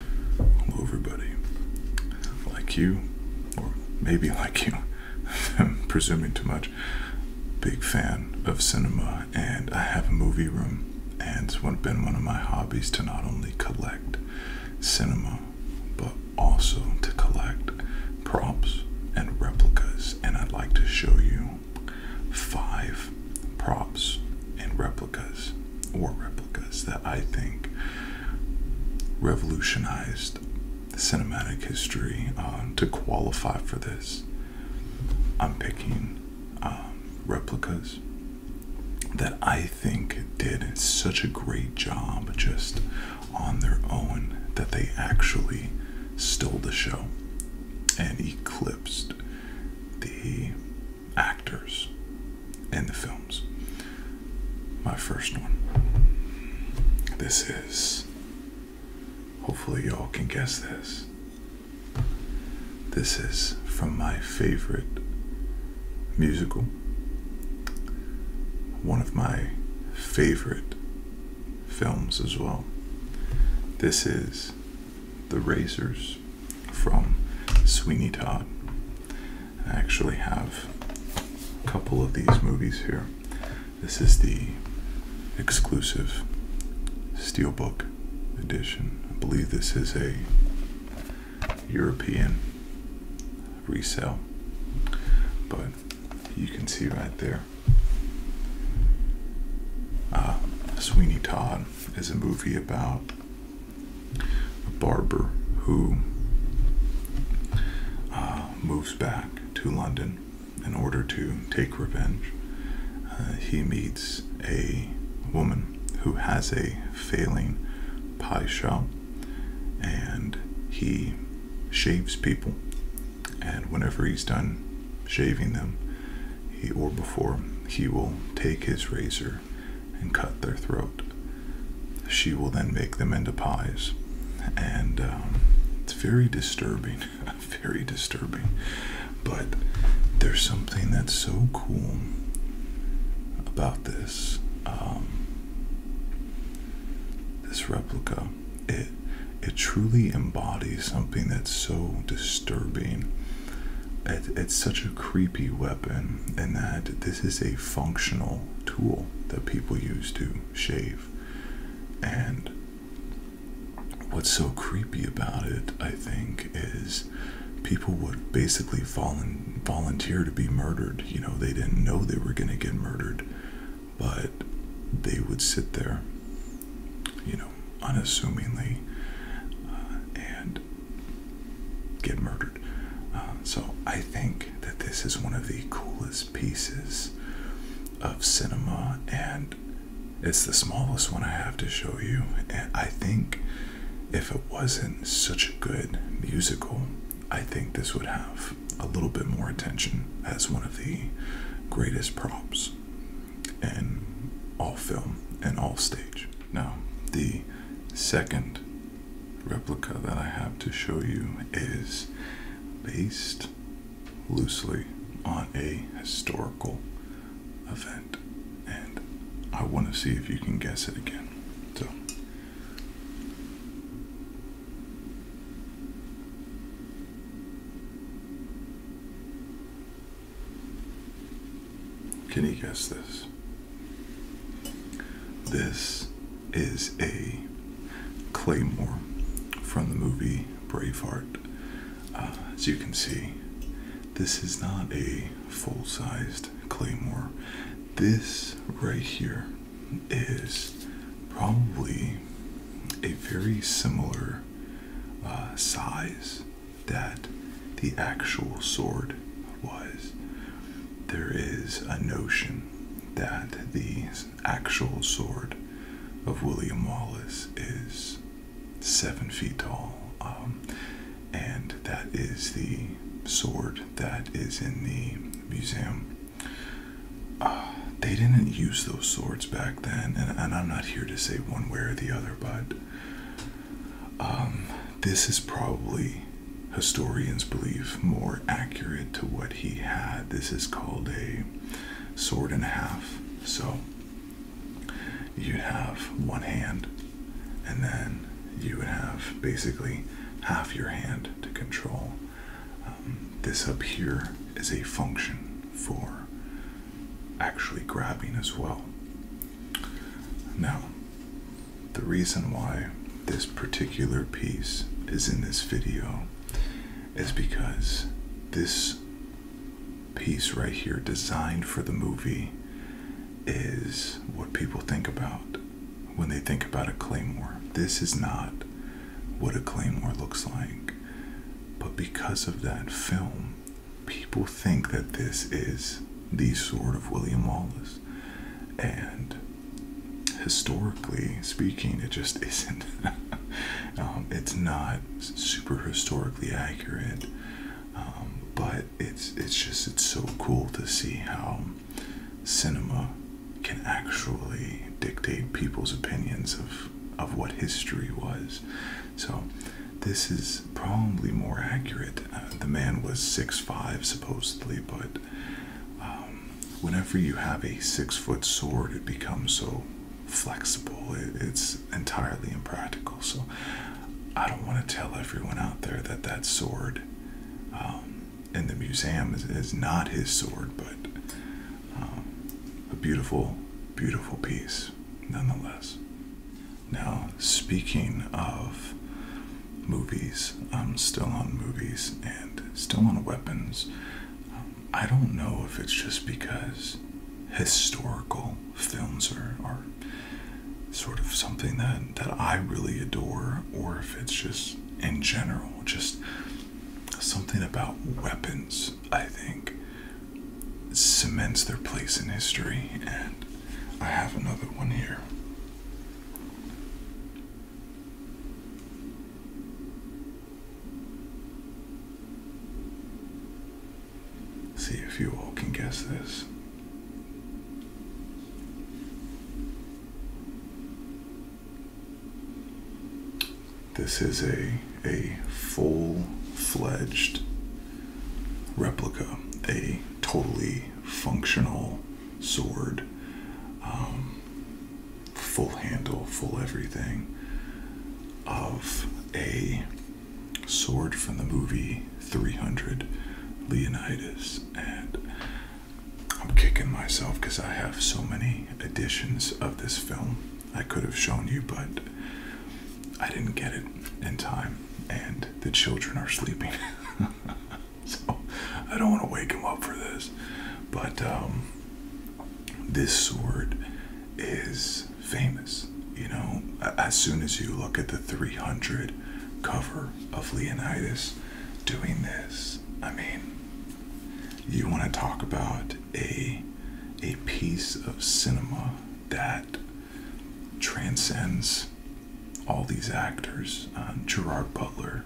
Hello, everybody. Like you, or maybe like you, I'm presuming too much, big fan of cinema, and I have a movie room, and it's been one of my hobbies to not only collect cinema, but also to collect props and replicas, and I'd like to show you five props and replicas or replicas that I think revolutionized cinematic history uh, to qualify for this. I'm picking um, replicas that I think did such a great job just on their own that they actually stole the show and eclipsed the actors in the films. My first one. This is. Hopefully, y'all can guess this. This is from my favorite musical, one of my favorite films as well. This is The Razors from Sweeney Todd. I actually have a couple of these movies here. This is the exclusive steelbook edition. I believe this is a European resale, but you can see right there. Ah, Sweeney Todd is a movie about a barber who uh, moves back to London in order to take revenge. Uh, he meets a woman who has a failing pie shop and he shaves people. And whenever he's done shaving them, he or before, he will take his razor and cut their throat. She will then make them into pies. And um, it's very disturbing, very disturbing. But there's something that's so cool about this. Um, this replica, it it truly embodies something that's so disturbing it's such a creepy weapon in that this is a functional tool that people use to shave. And what's so creepy about it, I think, is people would basically volunteer to be murdered. You know, they didn't know they were going to get murdered, but they would sit there, you know, unassumingly. Uh, and get murdered. Um, so I think that this is one of the coolest pieces of cinema, and it's the smallest one I have to show you. And I think if it wasn't such a good musical, I think this would have a little bit more attention as one of the greatest props in all film and all stage. Now, the second replica that I have to show you is based loosely on a historical event, and I want to see if you can guess it again. So, can you guess this? This is a claymore from the movie Braveheart. Uh, as you can see, this is not a full sized claymore. This right here is probably a very similar uh, size that the actual sword was. There is a notion that the actual sword of William Wallace is seven feet tall, um, and that is the sword that is in the museum. Ah, they didn't use those swords back then, and I'm not here to say one way or the other, but um, this is probably, historians believe, more accurate to what he had. This is called a sword and a half. So you have one hand, and then you would have basically half your hand to control. Um, this up here is a function for actually grabbing as well. Now, the reason why this particular piece is in this video is because this piece right here, designed for the movie, is what people think about when they think about a claymore. This is not what a claymore looks like, but because of that film, people think that this is the sword of William Wallace, and historically speaking, it just isn't. Um, it's not super historically accurate, um, but it's it's just it's so cool to see how cinema can actually dictate people's opinions of of what history was. So this is probably more accurate. Uh, the man was 6'5 supposedly, but um, whenever you have a six foot sword, it becomes so flexible, it's entirely impractical. So I don't want to tell everyone out there that that sword um, in the museum is, not his sword, but um, a beautiful, beautiful piece nonetheless. Now, speaking of movies, I'm still on movies and still on weapons. Um, I don't know if it's just because historical films are, are sort of something that, that I really adore, or if it's just in general, just something about weapons I think, cements their place in history, and I have another one here. See if you all can guess this. This is a a full-fledged replica, a totally functional sword, um, full handle, full everything of a sword from the movie 300 Leonidas. And I'm kicking myself because I have so many editions of this film. I could have shown you, but I didn't get it in time, and the children are sleeping. so I don't want to wake them up for this. But um, this sword is famous. You know, as soon as you look at the 300 cover of Leonidas doing this, I mean, you want to talk about a a piece of cinema that transcends all these actors. Uh, Gerard Butler,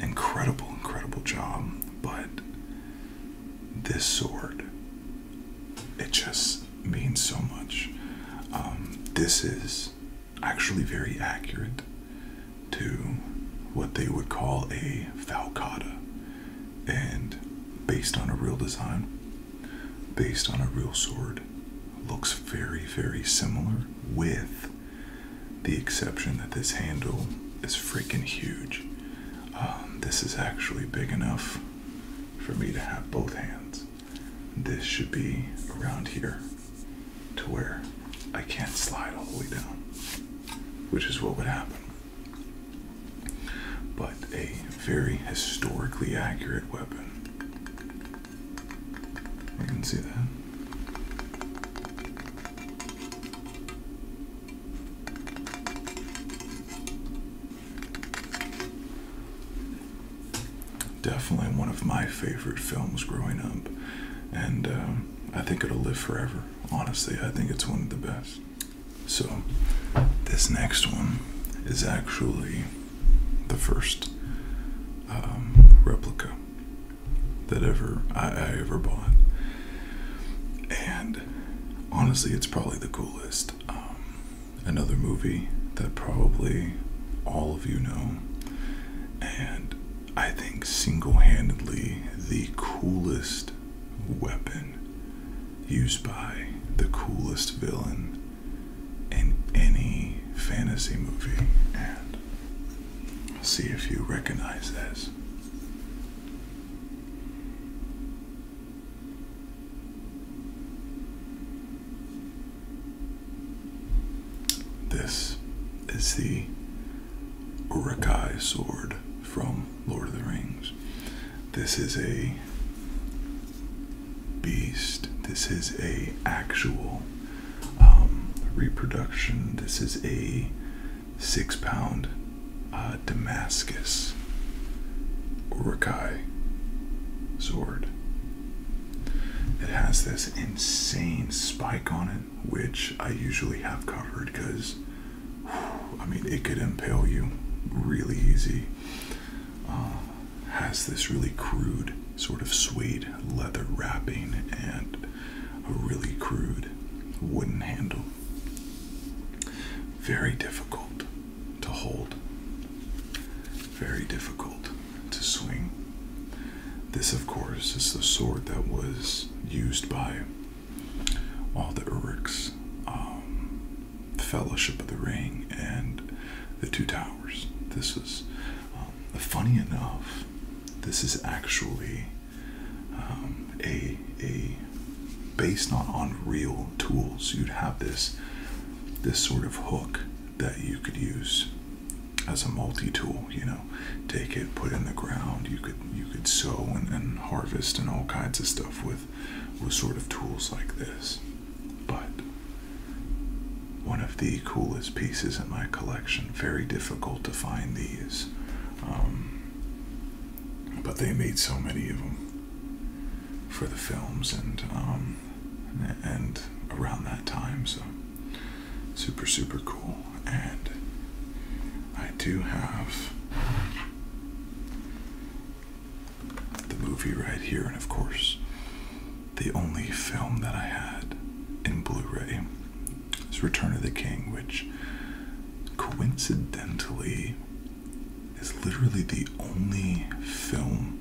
incredible, incredible job, but this sword, it just means so much. Um, this is actually very accurate to what they would call a falcata and based on a real design, based on a real sword, looks very, very similar, with the exception that this handle is freaking huge. Um, this is actually big enough for me to have both hands. This should be around here to where I can't slide all the way down, which is what would happen but a very historically accurate weapon. You can see that. Definitely one of my favorite films growing up, and uh, I think it'll live forever. Honestly, I think it's one of the best. So, this next one is actually the first um, replica that ever I, ever bought, and honestly, it's probably the coolest. Um, another movie that probably all of you know, and I think single-handedly the coolest weapon used by the coolest villain in any fantasy movie, and see if you recognize this. This is the Urukai sword from Lord of the Rings. This is a beast. This is a actual um, reproduction. This is a six pound uh, Damascus Urukai sword. It has this insane spike on it, which I usually have covered because I mean, it could impale you really easy. Uh, has this really crude sort of suede leather wrapping and a really crude wooden handle. Very difficult to hold, very difficult to swing. This, of course, is the sword that was used by all the Uruk's um, Fellowship of the Ring and the Two Towers. This is um, funny enough. This is actually um, a a based not on real tools. You'd have this this sort of hook that you could use as a multi-tool. You know, take it, put in the ground. You could you could sow and, harvest and all kinds of stuff with with sort of tools like this. But one of the coolest pieces in my collection. Very difficult to find these, um, but they made so many of them for the films and um, and around that time. So super super cool and I do have the movie right here, and of course, the only film that I had in Blu ray is Return of the King, which coincidentally is literally the only film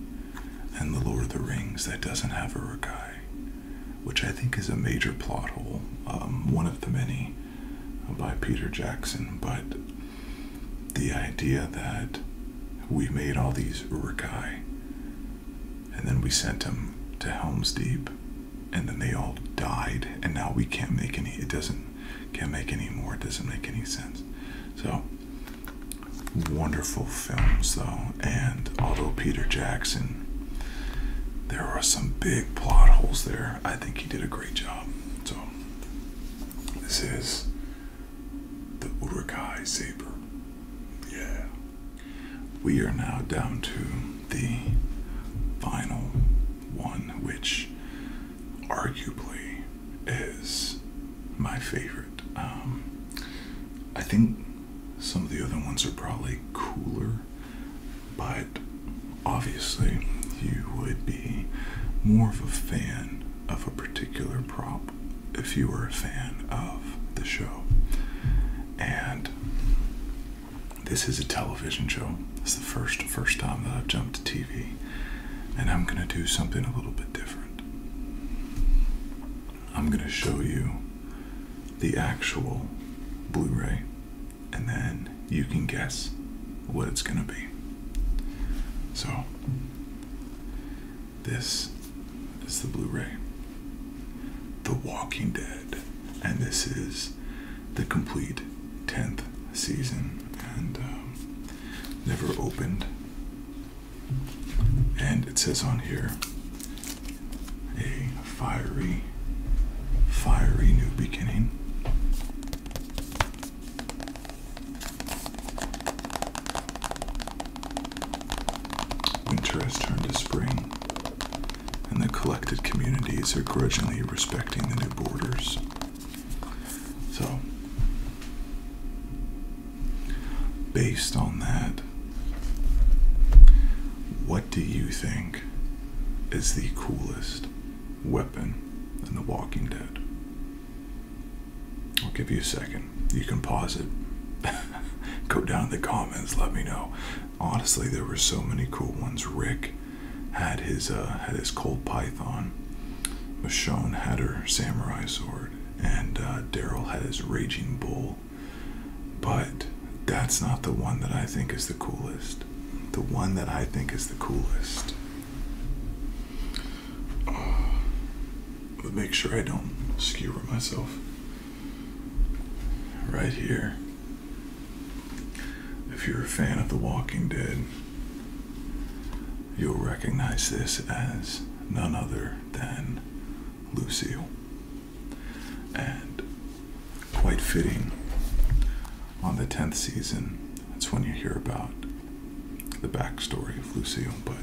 in The Lord of the Rings that doesn't have a Urukai which I think is a major plot hole, um, one of the many uh, by Peter Jackson. But the idea that we made all these Urukai and then we sent them to Helm's Deep and then they all died and now we can't make any it doesn't can't make any more it doesn't make any sense so wonderful films though and although Peter Jackson there are some big plot holes there. I think he did a great job. So, this is the Urukai Saber. Yeah. We are now down to the final one, which arguably is my favorite. Um, I think some of the other ones are probably cooler, but obviously you would be more of a fan of a particular prop if you were a fan of the show. And this is a television show. It's the first first time that I've jumped to TV, and I'm gonna do something a little bit different. I'm gonna show you the actual Blu-ray and then you can guess what it's going to be. So, this is the Blu ray, The Walking Dead, and this is the complete 10th season and um, never opened. And it says on here a fiery, fiery new beginning. Winter has turned to spring, and the collected communities are grudgingly respecting the new borders. So, based on that, what do you think is the coolest weapon in The Walking Dead? I'll give you a second. You can pause it. Go down in the comments, let me know. Honestly, there were so many cool ones. Rick had his uh, had his cold python. Michonne had her samurai sword, and uh, Daryl had his raging bull. But that's not the one that I think is the coolest. The one that I think is the coolest. but make sure I don't skewer myself. Right here. If you're a fan of The Walking Dead, you'll recognize this as none other than Lucille and quite fitting on the 10th season. That's when you hear about the backstory of Lucille. but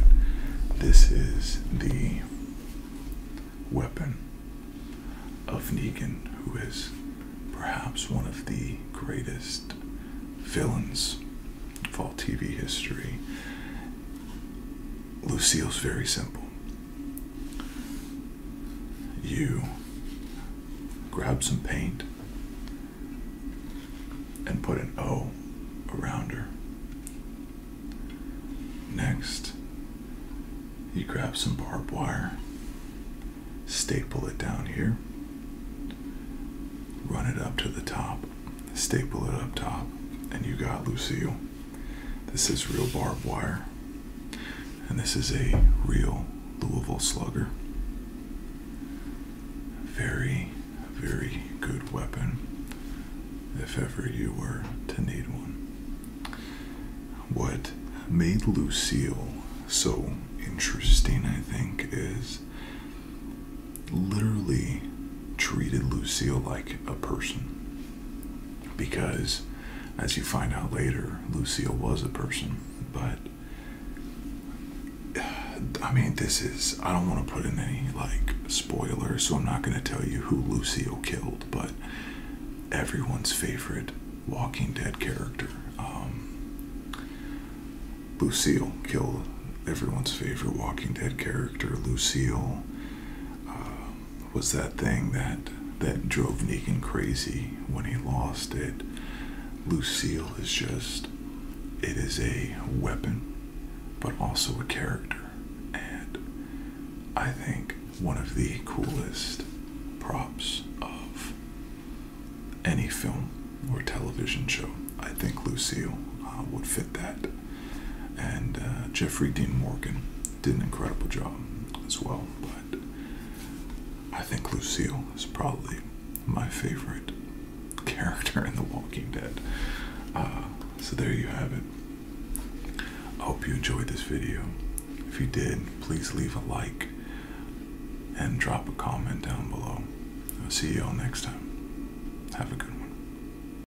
this is the weapon of Negan, who is perhaps one of the greatest villains of all TV history. Lucille's very simple. You grab some paint and put an O around her. Next, you grab some barbed wire, staple it down here, run it up to the top, staple it up top, and you got Lucille. This is real barbed wire. And this is a real Louisville slugger. Very, very good weapon if ever you were to need one. What made Lucille so interesting, I think, is literally treated Lucille like a person. Because, as you find out later, Lucille was a person. But, I mean, this is, I don't want to put in any like spoilers, so I'm not going to tell you who Lucille killed, but everyone's favorite Walking Dead character. Um, Lucille killed everyone's favorite Walking Dead character, Lucille. Um, was that thing that that drove Negan crazy when he lost it. Lucille is just it is a weapon but also a character and I think one of the coolest props of any film or television show. I think Lucille uh, would fit that and uh, Jeffrey Dean Morgan did an incredible job as well. But I think Lucille is probably my favorite character in The Walking Dead. Uh, so there you have it. I hope you enjoyed this video. If you did, please leave a like and drop a comment down below. I'll see you all next time. Have a good one.